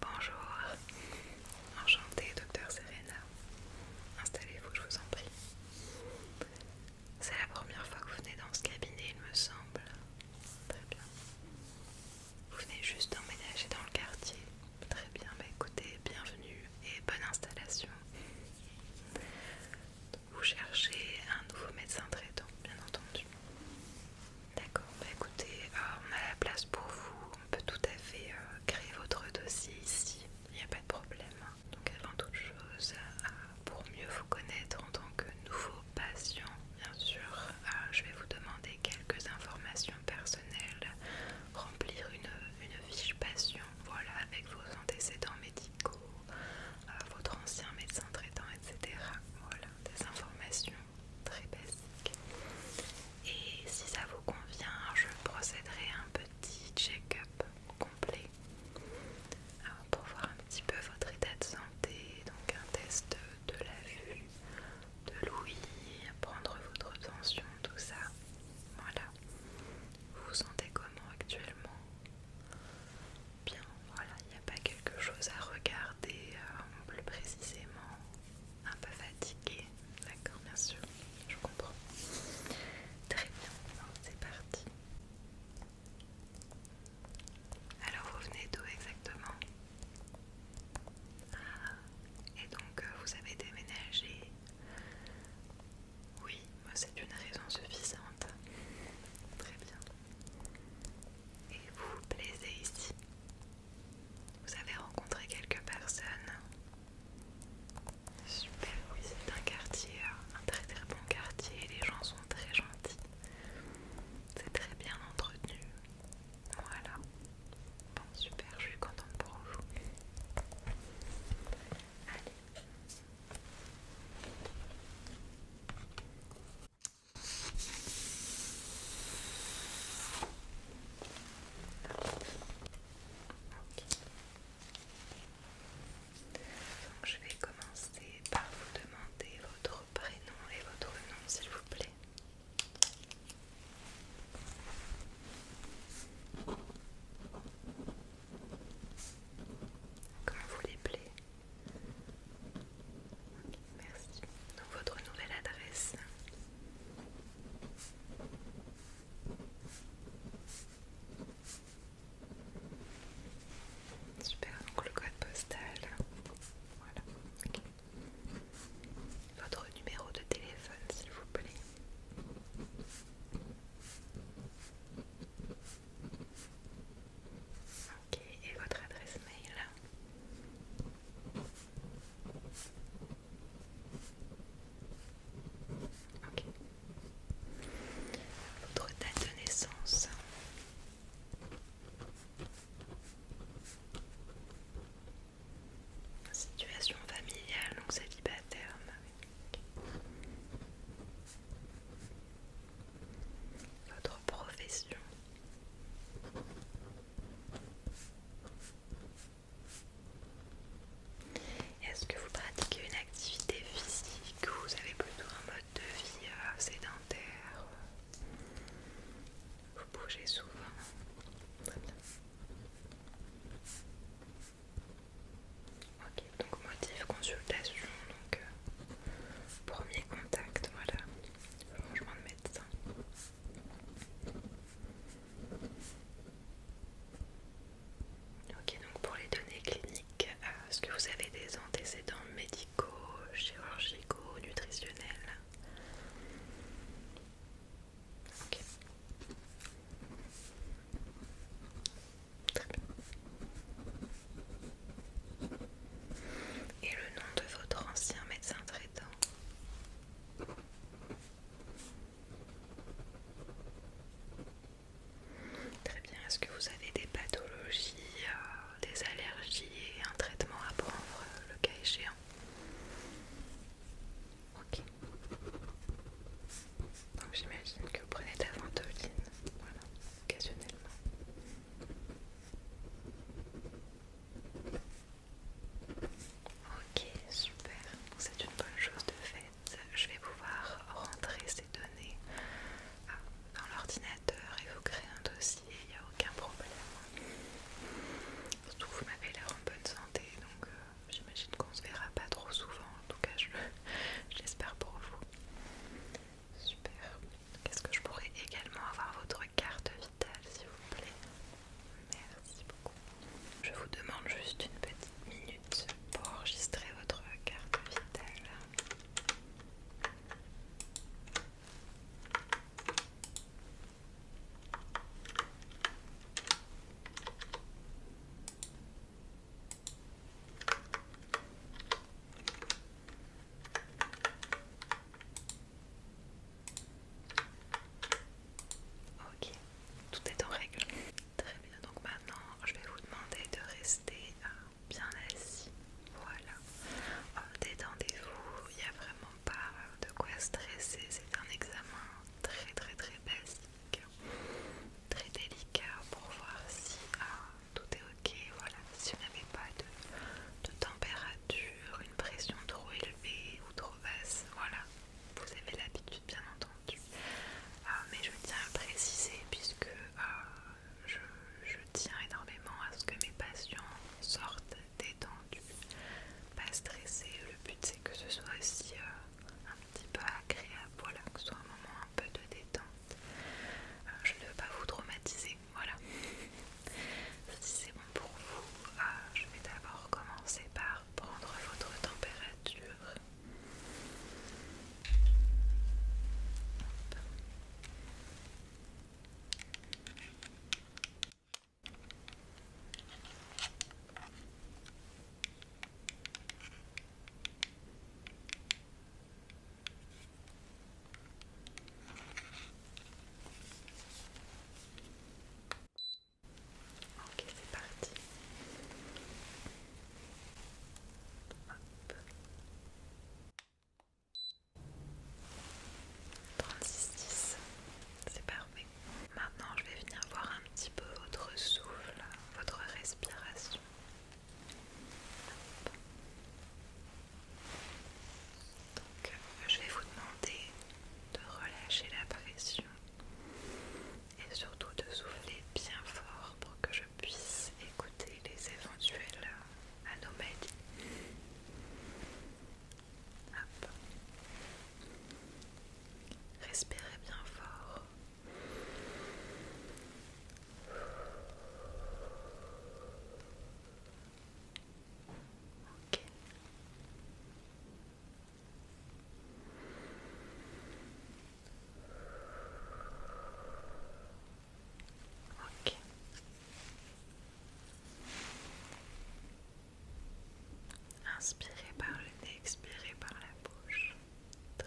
Bonjour, enchantée docteur Serena. Installez-vous, je vous en prie. C'est la première fois que vous venez dans ce cabinet, il me semble. Très bien. Vous venez juste d'emménager dans le quartier. Très bien, bah écoutez, bienvenue et bonne installation. Vous cherchez un nouveau médecin traitant, bien entendu. D'accord, bah écoutez, euh, on a la place pour vous, on peut tout à fait euh, créer votre dossier ici, il n'y a pas de problème. Donc avant toute chose, euh, pour mieux vous connaître en tant que nouveau patient, bien sûr, je vais vous demander quelques informations personnelles, remplir une, fiche patient, voilà, avec vos antécédents médicaux, votre ancien médecin traitant, etc. Voilà, des informations très basique. Et si ça vous convient, je procéderai à un petit check-up complet euh, pour voir un petit peu votre état de santé, donc un test de la vue, de l'ouïe, prendre votre tension, tout ça. Voilà. Vous vous sentez comment actuellement Bien, voilà, il n'y a pas quelque chose à regarder euh, plus précisément un peu fatigué, d'accord, bien sûr, je comprends. Très bien, c'est parti. Alors vous venez d'où exactement ah, et donc euh, vous avez déménagé Oui, c'est une raison suffisante. Très bien. Et vous vous plaisez ici vous avez rencontré quelques personnes Super, oui, c'est un quartier, un très très bon quartier. Les gens sont très gentils. C'est très bien entretenu. Voilà. Bon, super, je suis contente pour vous. Allez je vais commencer par vous demander votre prénom et votre nom s'il vous plaît. Comment vous les plaît Merci. Donc votre nouvelle adresse. Super, donc le code postal. Voilà. Votre numéro de téléphone, s'il vous plaît. Ok, et votre adresse mail. Ok. Votre date de naissance. Situation familiale, donc célibataire. Votre profession. Est-ce que vous pratiquez une activité physique ou vous avez plutôt un mode de vie euh, sédentaire Vous bougez souvent Très bien. Ok, donc motif consultation, donc euh, premier contact, voilà, changement de médecin. Ok, donc pour les données cliniques, euh, est-ce que vous avez des antécédents médicaux, chirurgicaux, nutritionnels Ok. Très bien. Et le nom de votre ancien médecin traitant Très bien, est-ce que vous avez des pathologies, euh, des allergies et un traitement à prendre euh, le cas échéant Ok. Donc j'imagine que vous prenez de la ventoline, voilà, occasionnellement. Ok, super. C'est une bonne chose de fait. Je vais pouvoir rentrer ces données euh, dans l'ordinateur et vous créer un dossier. Il n'y a aucun problème. Surtout, vous m'avez l'air en bonne santé, donc euh, j'imagine qu'on se verra pas trop souvent. En tout cas, j'espère pour vous. Super. Est-ce que je pourrais également avoir votre carte s'il vous Je vous demande juste une petite minute pour enregistrer votre carte vitale. Ok, tout est en règle. Très bien, donc maintenant je vais vous demander de rester euh, bien assis. Voilà. Euh, détendez-vous, il n'y a vraiment pas de quoi stresser. C'est un examen très très très basique, très délicat pour voir si euh, tout est ok. Voilà, si vous n'avez pas de température une pression trop élevée ou trop basse, voilà, vous avez l'habitude bien entendu. Euh, mais je tiens à préciser puisque euh, je, tiens énormément à ce que mes patients sortent détendus, pas stressés. Le but c'est que ce soit aussi euh, un petit peu agréable, voilà, que ce soit un moment un peu de détente. je ne veux pas vous traumatiser, voilà. Si c'est bon pour vous, ah, je vais d'abord commencer par prendre votre température. Ok, c'est parti. Hop. c'est parfait. Maintenant, je vais venir voir un petit peu votre souffle, votre respiration. Donc euh, je vais vous demander de relâcher la pression et surtout de souffler bien fort pour que je puisse écouter les éventuelles euh, anomalies. Respirez bien fort. Inspirez par le nez, expirez par la bouche. Très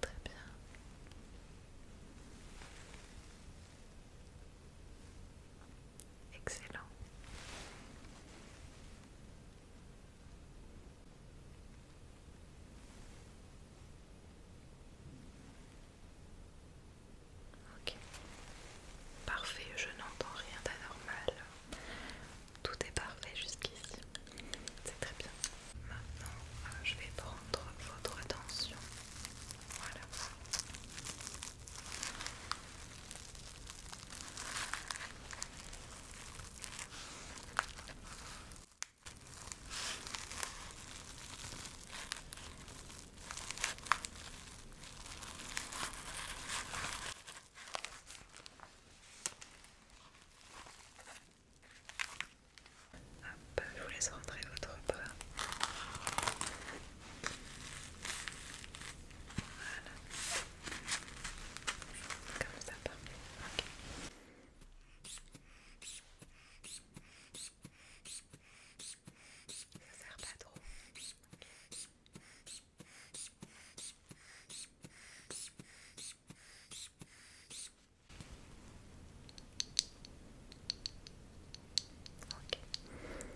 Très bien. Excellent. Ok. Parfait, je n'entends rien d'anormal. Tout est parfait jusqu'ici. C'est très bien. Maintenant, euh, je vais prendre votre attention. Voilà. Hop, je vous laisse rentrer votre bras. Voilà. Comme ça, parfait. Ok. Ça sert pas trop. Ok,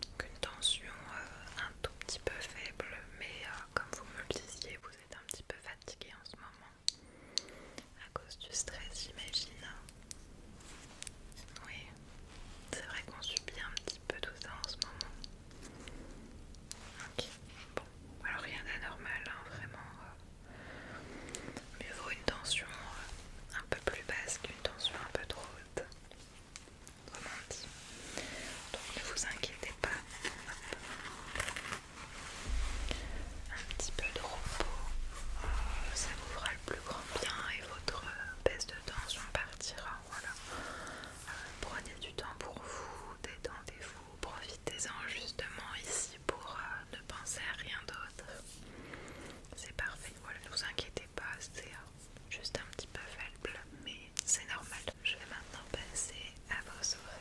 Donc une tension euh, un tout petit peu faible, mais euh, comme vous me le disiez, vous êtes un petit peu fatigué en ce moment à cause du stress, j'imagine. Oui, c'est vrai qu'on subit un petit peu tout ça en ce moment. Ok, bon, alors rien d'anormal, hein, vraiment. Euh, Mieux vaut une tension euh, un peu plus basse qu'une tension un peu trop haute. dit Donc ne vous inquiétez pas. Un petit peu de repos, euh, ça vous fera le plus grand bien et votre baisse de tension partira. Voilà. Euh, prenez du temps pour vous, détendez-vous, profitez-en justement ici pour euh, ne penser à rien d'autre. C'est parfait, voilà, ne vous inquiétez pas, c'est euh, juste un petit peu faible, mais c'est normal. Je vais maintenant passer à vos oreilles.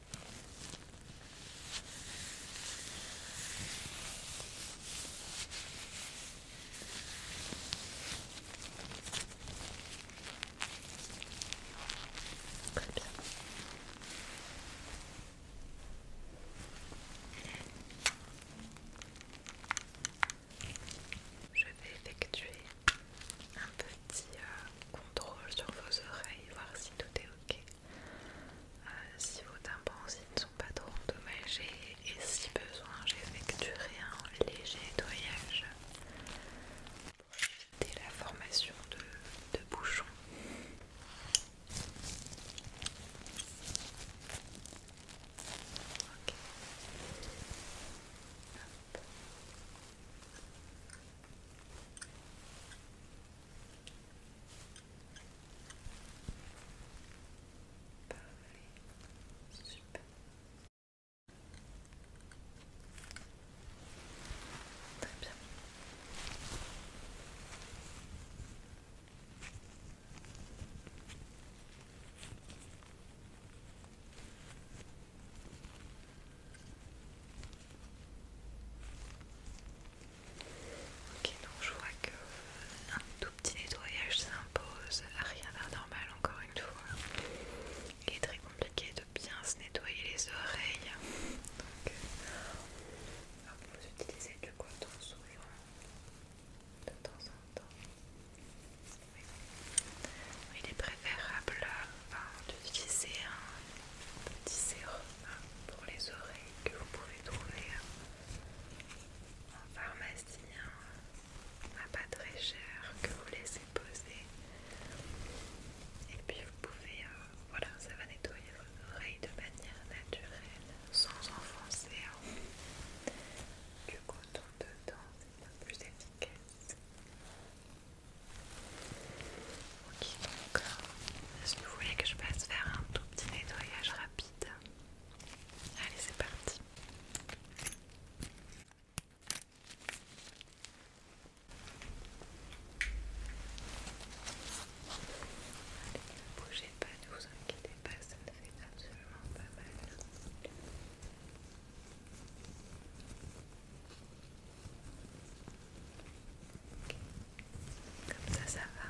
Je vais effectuer un petit euh, contrôle sur vos oreilles, voir si tout est euh, si vos tympansines ne sont pas trop endommagés et si besoin, j'effectuerai un léger nettoyage pour éviter la formation de, bouchons. Parfait, super. Très bien. Ok, donc je vois que un tout petit nettoyage s'impose, ah, rien d'anormal encore une fois. Il est très compliqué de bien se nettoyer les oreilles. Donc, vous utilisez du coton souvent, de temps en temps. Il est préférable on un petit sérum pour les oreilles que vous pouvez trouver en pharmacie à pas très cher que vous laissez poser et puis vous pouvez euh, voilà ça va nettoyer vos oreilles de manière naturelle sans enfoncer hein. du coton dedans c'est un plus efficace Ok, donc que vous voulez que je passe faire un tout petit nettoyage rapide, allez c'est parti. Allez, ne bougez pas, ne vous inquiétez pas, ça ne fait absolument pas mal. Comme ça, ça va.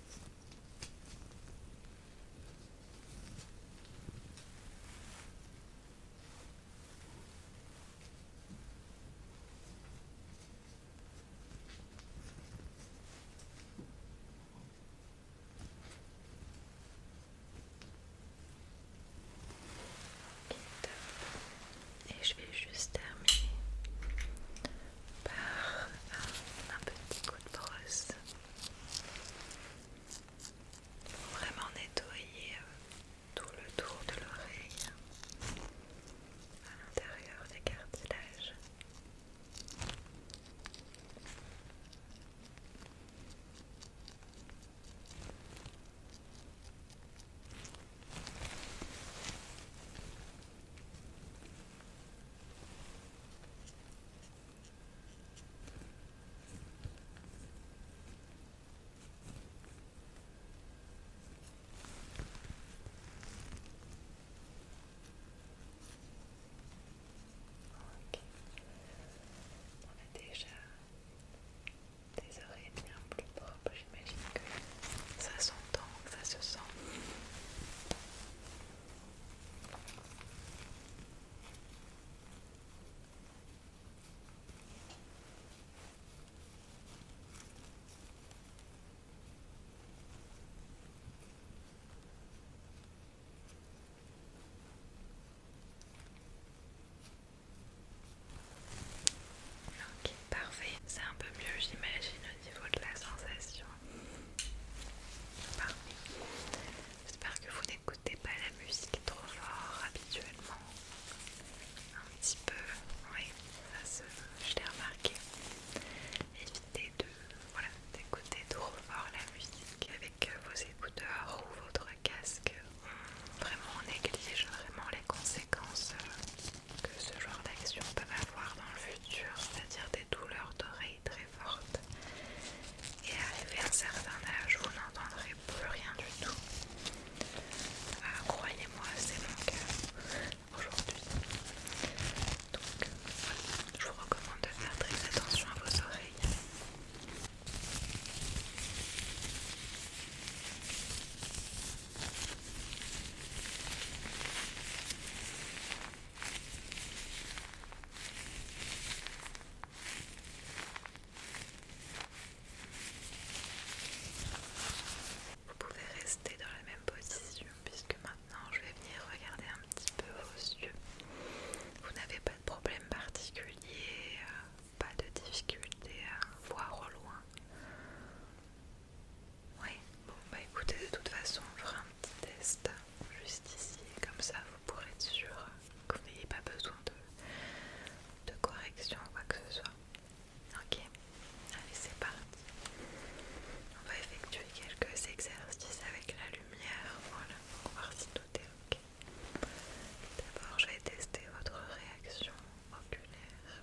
Et je vais juste terminer par un, petit coup de brosse vraiment nettoyer euh, tout le tour de l'oreille à l'intérieur des cartilages. On a déjà des oreilles bien plus propres, j'imagine que ça s'entend, ça se sent parfait. C'est un peu mieux, j'imagine, au niveau de la sensation. J'espère que vous n'écoutez pas la musique trop fort habituellement. Un petit peu, oui, ça se, je l'ai remarqué. Évitez de, d'écouter trop fort la musique avec vos écouteurs ou votre casque. Vraiment, on néglige vraiment les conséquences euh, que ce genre d'action peut avoir dans le futur, c'est-à-dire des douleurs d'oreilles très fortes. Et à un certain âge, vous n'entendrez plus rien du tout. Ah, croyez-moi, c'est mon cœur. aujourd'hui. Donc, je vous recommande de faire très attention à vos oreilles. Vous pouvez rester dans la même position puisque maintenant je vais venir regarder un petit peu vos yeux. Vous n'avez pas de problème particulier, euh, pas de difficulté à voir au loin. Oui, bon bah écoutez, de toute façon, on fera un petit test juste ici, comme ça vous pourrez être sûr que vous n'ayez pas besoin de, de correction ou quoi que ce soit. Ok, allez, c'est parti. On va effectuer quelques exercices avec la lumière, voilà, pour voir si tout est ok. D'abord, je vais tester votre réaction oculaire.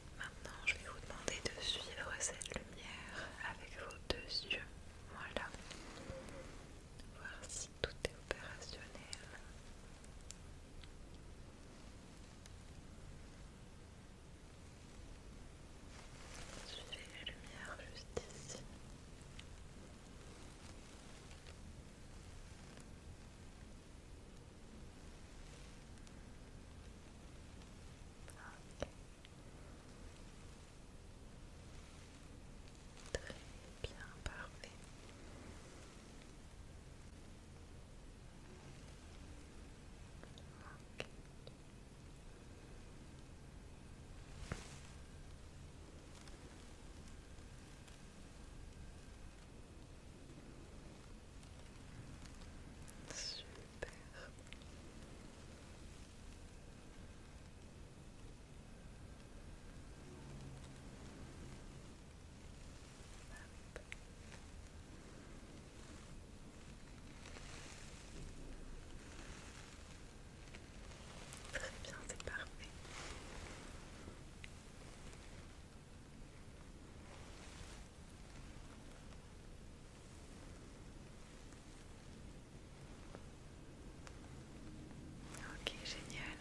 Maintenant, je vais vous demander de suivre cette lumière avec vos deux yeux. Voilà. Voir si tout est opérationnel. Suivez la lumière juste ici. Très bien, parfait. Super. Très bien, c'est parfait. Ok, génial.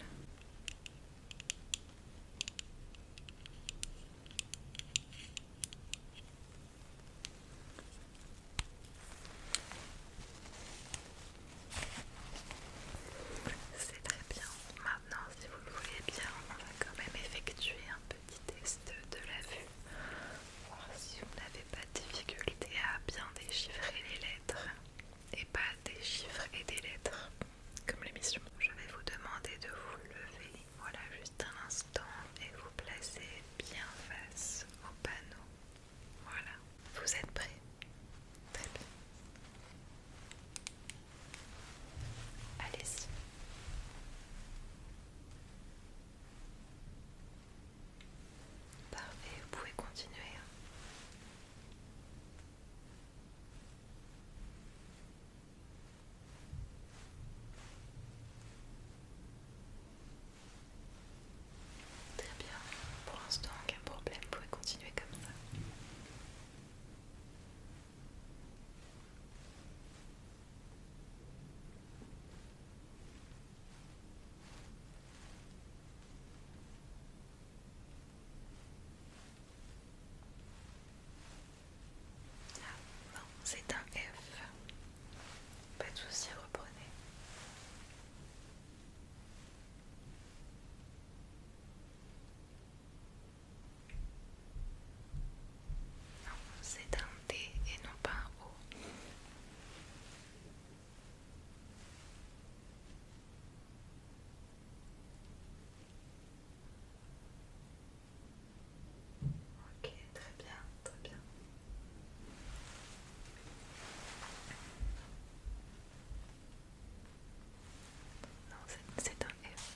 C'est très bien. Maintenant, si vous le voulez bien, on va quand même effectuer un petit test de la vue, voir si vous n'avez pas de difficulté à bien déchiffrer les lettres et pas des chiffres et des lettres comme l'émission. Je vais vous demander de vous lever, voilà juste un instant, et vous placer bien face au panneau. Voilà, vous êtes prêts Très bien. Allez-y. Parfait, vous pouvez continuer. Hein. Très bien, pour l'instant aucun problème, vous pouvez continuer comme ça non, ah, c'est un F. Pas de souci, reprenez. Non, c'est un D et non pas un O. Ok, très bien, très bien. Non, c'est un F.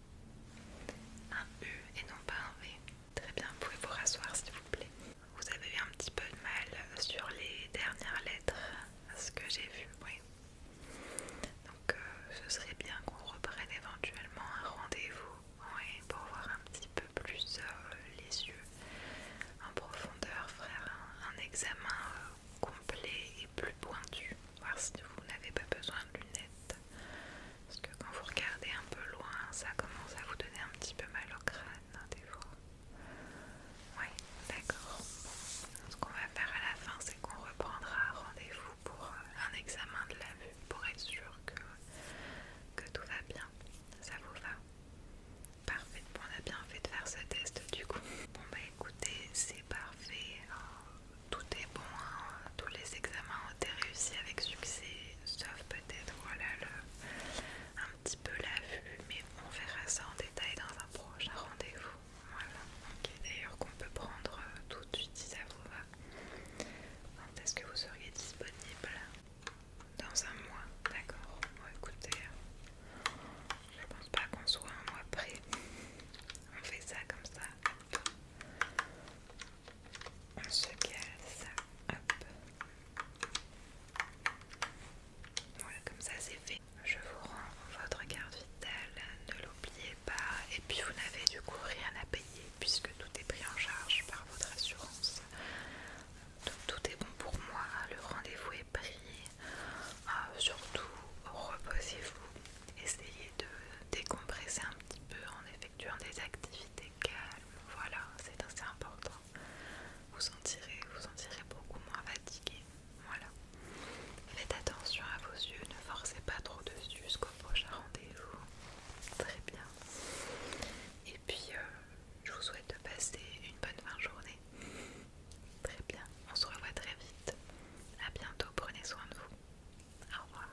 Un U e et non pas un V. Très bien, vous pouvez vous rasseoir s'il vous plaît. Vous avez eu un petit peu de mal sur les dernières lettres, ce que j'ai vu, oui. Donc euh, ce serait bien qu'on reprenne éventuellement un rendez-vous, pour voir un petit peu plus euh, les yeux en profondeur, frère, un, examen euh, complet et plus pointu, voir si vous n'avez pas besoin de lunettes. Parce que quand vous regardez un peu loin, ça commence à vous donner un petit peu mal au crâne, hein, des fois. Oui, d'accord. Ce qu'on va faire à la fin, c'est qu'on reprendra rendez-vous pour euh, un examen de la vue, pour être sûr que, tout va bien. Ça vous va Parfait, on a bien fait de faire ce test du coup. Bon bah écoutez, c'est parfait, hein. tout est bon, hein tous les examens ont été réussis avec succès, sauf peut-être voilà un petit peu la vue, mais on verra ça en détail dans un prochain rendez-vous. Voilà, ok, d'ailleurs qu'on peut prendre euh, tout de suite ça vous va. Quand est-ce que vous seriez disponible Dans un mois, d'accord. écoutez, je pense pas qu'on soit un mois prêt. On fait ça comme ça on se casse, hop. Voilà, comme ça c'est fait. Je vous rends votre carte vitale, ne l'oubliez pas. Et puis vous n'avez du coup rien à payer puisque tout est pris en charge par votre assurance. Donc tout est bon pour moi, le rendez-vous est pris. Ah, surtout, reposez-vous. Essayez de décompresser un petit peu. En effet, effectuant des activités calmes, voilà, c'est assez important. Vous sentirez, vous sentirez beaucoup moins fatigué, voilà. Faites attention à vos yeux, ne forcez pas trop dessus jusqu'au prochain rendez-vous. Très bien. Et puis, euh, je vous souhaite de passer une bonne fin de journée. Très bien, on se revoit très vite. à bientôt, prenez soin de vous. Au revoir.